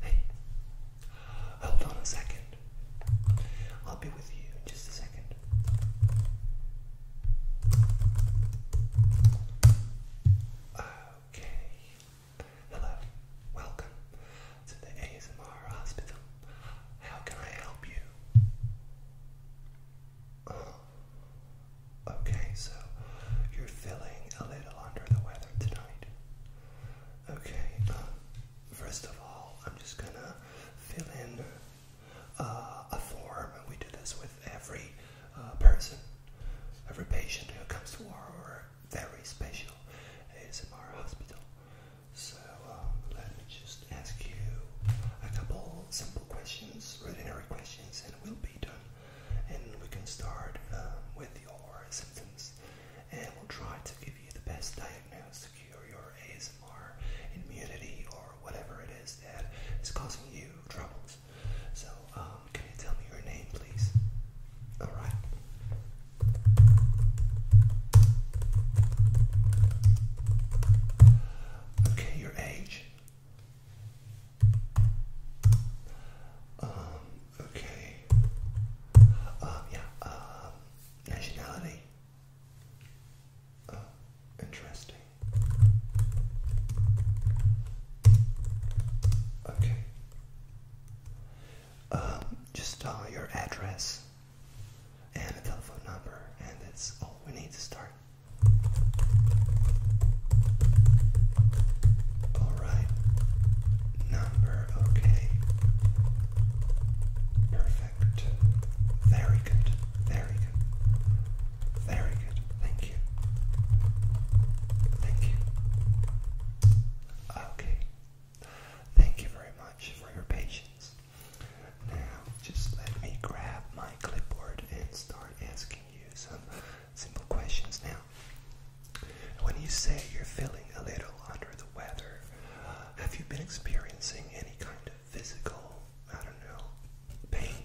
Hey, hold on a second. I'll be with you in just a second. Okay. Hello, welcome to the ASMR hospital. How can I help you? Oh, okay, so you're feeling a little under the weather tonight. Okay, um, first of all, I'm just gonna fill in uh, a form, and we do this with every uh, person, every patient who comes to our very special ASMR hospital. So um, let me just ask you a couple simple questions, ordinary questions, and we'll be done. And we can start um, with your symptoms, and we'll try to give you the best diagnosis to cure your ASMR immunity or whatever it is that is causing you troubles. So, um, can you tell me your name, please? All right. Okay, your age. Um, okay. Um, yeah, um, nationality. Oh, interesting. Okay. Um, just your address and a telephone number, and that's all we need to start. Alright, number okay. Perfect. Very good, very good, very good. Thank you. Thank you. Okay, Thank you very much for your patience. Now, just let me grab my clipboard and start asking you some simple questions now. When you say you're feeling a little under the weather, have you been experiencing any kind of physical, I don't know, pain?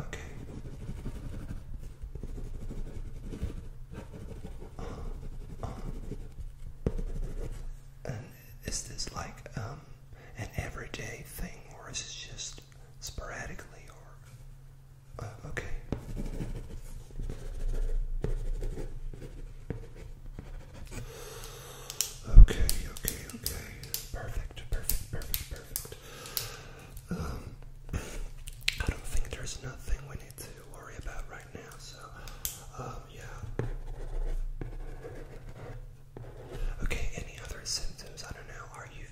Okay is this like um, an everyday thing, or is it just sporadically? Or uh, Okay, okay, okay. Perfect, perfect, perfect, perfect. Um, I don't think there's nothing we need to worry about right now, so um, yeah. Okay, any other symptoms? I don't know. Are you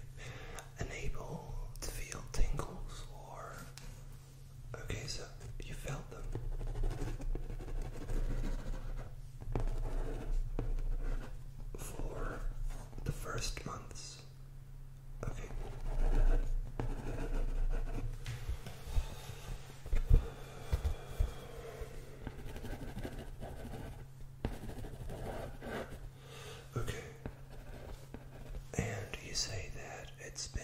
unable to feel tingles or. Okay, so you felt them. For the first months Okay. Okay. And you say that it's been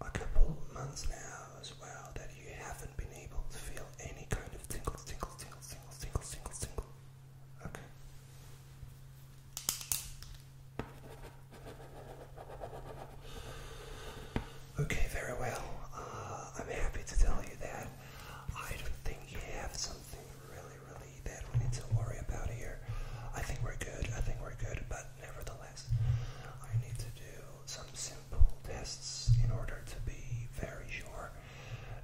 a couple months now as well that you haven't been able to feel any kind of tingles, tingles, tingles, tingles, tingles, tingles, tingles. Okay. Okay, very well. Uh, I'm happy to tell you that I don't think you have something really, really that we need to worry about here. I think we're good, I think we're good, but nevertheless, I need to do some simple tests in order to be very sure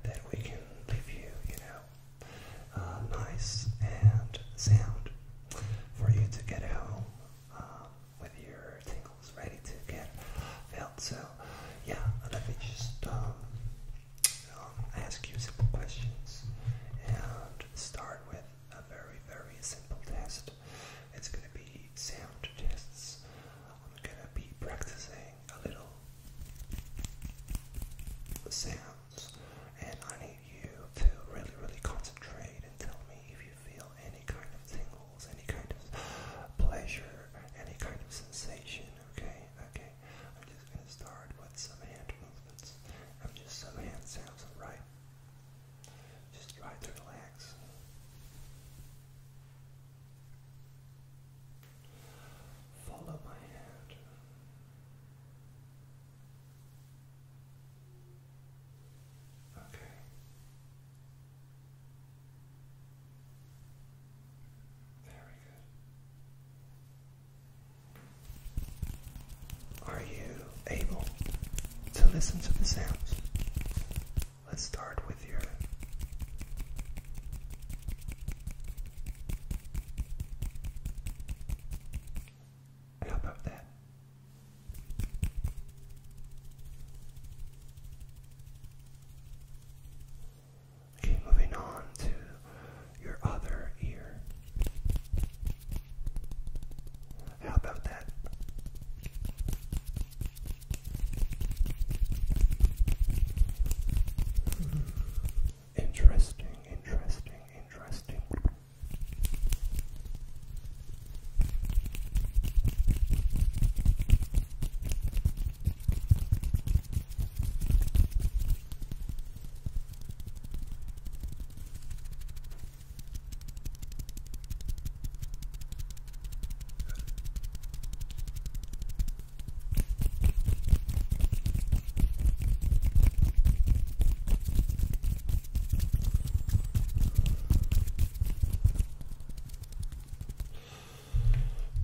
that we can leave you, you know, uh, nice and sound for you to get home uh, your tingles ready to get felt. So, yeah, i me just um, um, ask you simple questions and start with a very, very simple test. It's going to be sound tests. I'm going to be practicing a little sound and I need you to really, really concentrate and tell me if you feel any kind of tingles, any kind of pleasure, any kind of sensation, okay? Okay, I'm just gonna start with some hand movements. I'm just some hand sounds, right? Just through the relax. Follow my hand. Okay. Very good. Are you able to listen to the sounds? Let's start with your how about that? Okay, moving on to your other ear. How about that? Interesting, interesting, interesting.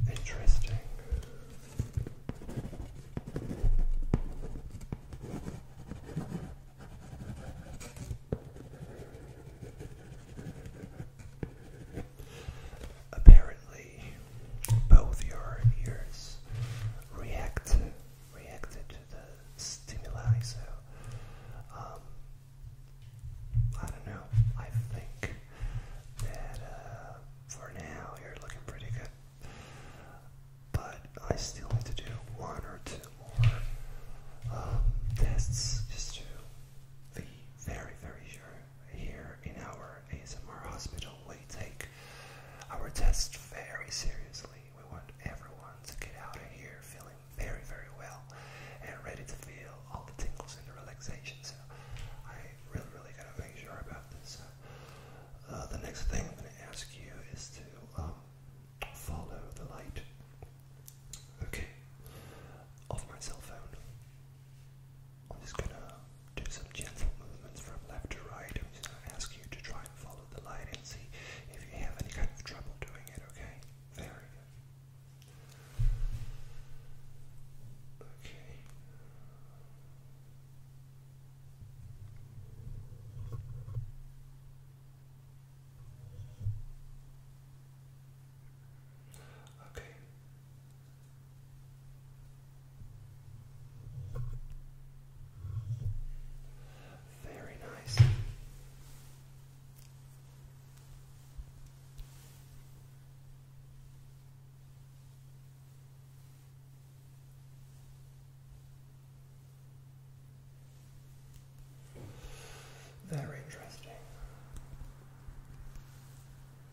Interesting. Apparently, both your ears react reacted to the stimuli so um, I don't know I think that uh, for now you're looking pretty good but I still need to do one or two more um, tests just to be very very sure here in our ASMR hospital we take our test very seriously. We want everyone to get out of here feeling very, very well and ready to feel all the tingles and the relaxation. So I really, really gotta make sure about this. Uh, the next thing I'm gonna ask you is to um, follow the light. Okay, off my cell phone. I'm just gonna do some gentle movements from left to right. I'm just gonna ask you to try and follow the light and see if you have any kind of trouble doing it, okay? Very good. Okay. Okay, very nice. Very interesting.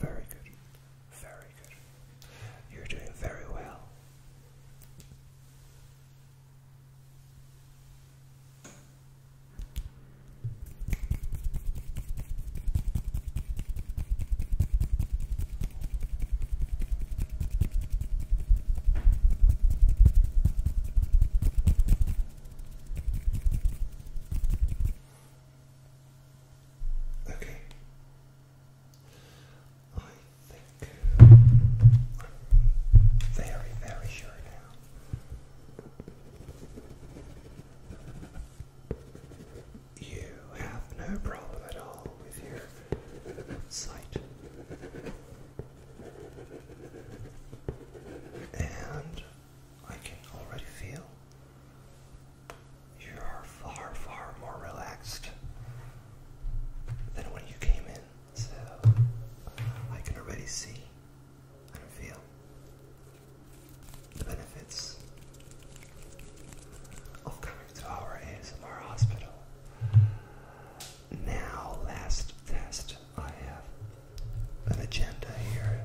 Very good. Very good. You're doing very well. Okay. I think I'm very, very sure now. You have no problem at all with your sight. And I can already feel you are far, far more relaxed than when you came in. So I can already see and feel the benefits of coming to our ASMR hospital. Now, last test, I have an agenda here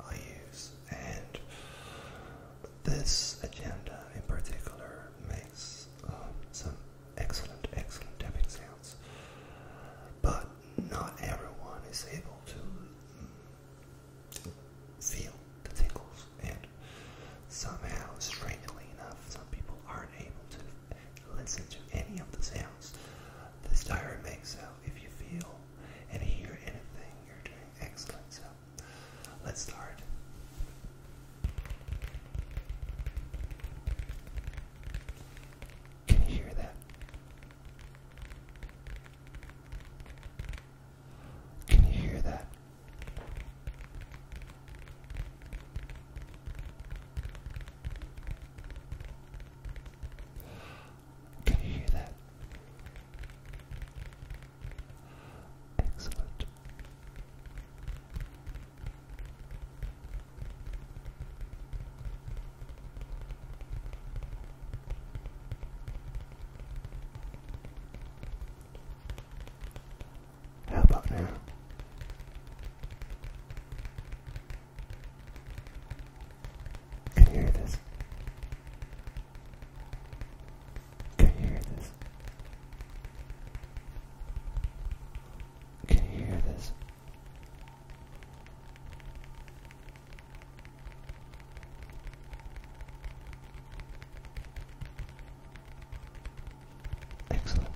I use, and this agenda in particular makes um, some excellent, excellent tapping sounds. But not everyone is able to mm, feel the tingles, and somehow, strangely enough, some people aren't able to listen to any of the sounds. This diary makes out if you feel and hear anything you're doing excellent. So let's start. Can you hear that? Can you hear that? Can you hear that? Excellent. How about now? Can you hear this? Can you hear this? Can you hear this? Excellent.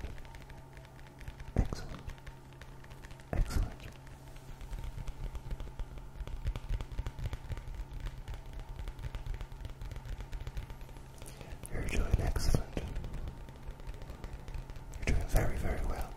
Excellent. Excellent. You're doing excellent. You're doing very, very well.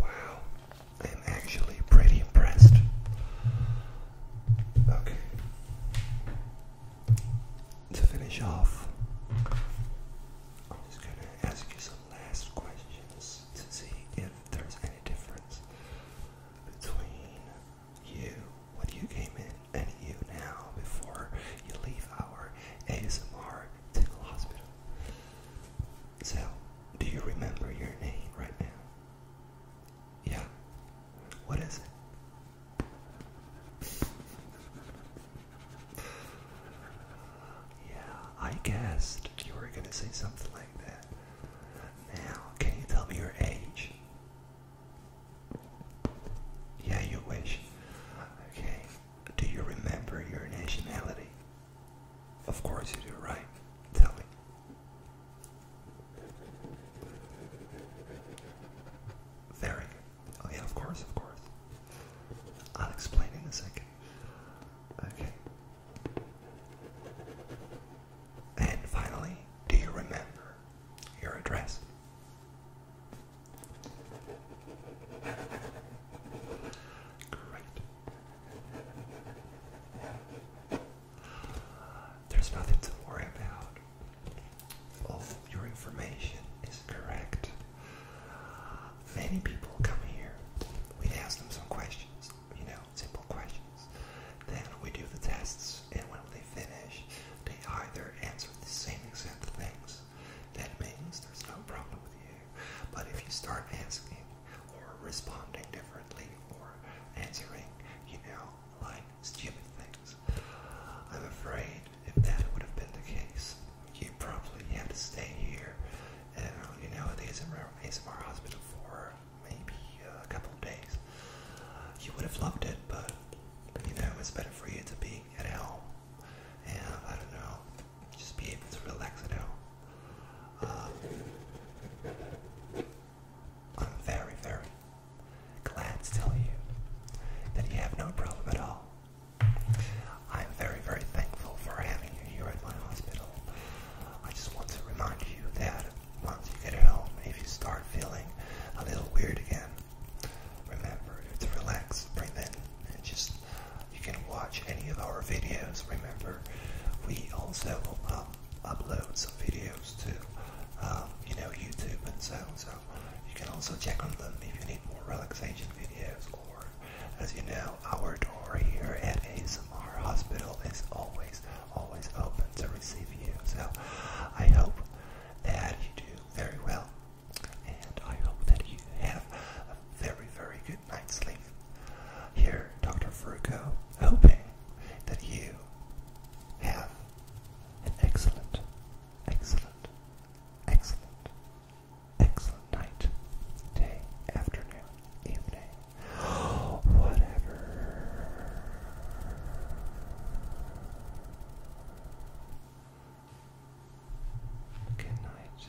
Wow, I'm actually pretty impressed. Okay. To finish off, I'm just going to ask you some last questions to see if there's any difference between you when you came in and you now before you leave our ASMR tickle hospital. So, do you remember your name right now? Yeah. What is it? yeah, I guessed you were going to say something like that. Now, can you tell me your age? Yeah, you wish. Okay. Do you remember your nationality? Of course you do, right? Tell me. Very. Oh yeah, of course, of course. I'll explain in a second. Okay. And finally, do you remember your address? Great. There's nothing to worry about. All your information is correct. Many people come here. We ask them some questions, you know, simple questions. Then we do the tests, and when they finish, they either answer the same exact things. That means there's no problem with you. But if you start asking or responding differently or answering, you know, like stupid things. I'm afraid if that would have been the case, you probably have to stay here. And uh, you know, at the ASMR, ASMR hospital for maybe uh, a couple of days. You would have loved it, but you know, it's better for you to be at home. And I don't know, just be able to relax at home. Um, I'm very, very glad to tell you that you have no problem at all. I'm very, very thankful for having you here at my hospital. I just want to remind you that once you get home, if you start feeling a little weird again, remember to relax, breathe in, and just you can watch any of our videos. Remember, we also uh, upload some videos to um, you know YouTube and so on. So you can also check on them if you need more relaxation videos. Or as you know, our door here at ASMR Hospital is always always open to receive you. So I hope that you do very well, and I hope that you have a very very good night's sleep. Here, Dr. Fruco, hoping that you have an excellent, excellent, excellent, excellent night, day, afternoon, evening, whatever. Good night.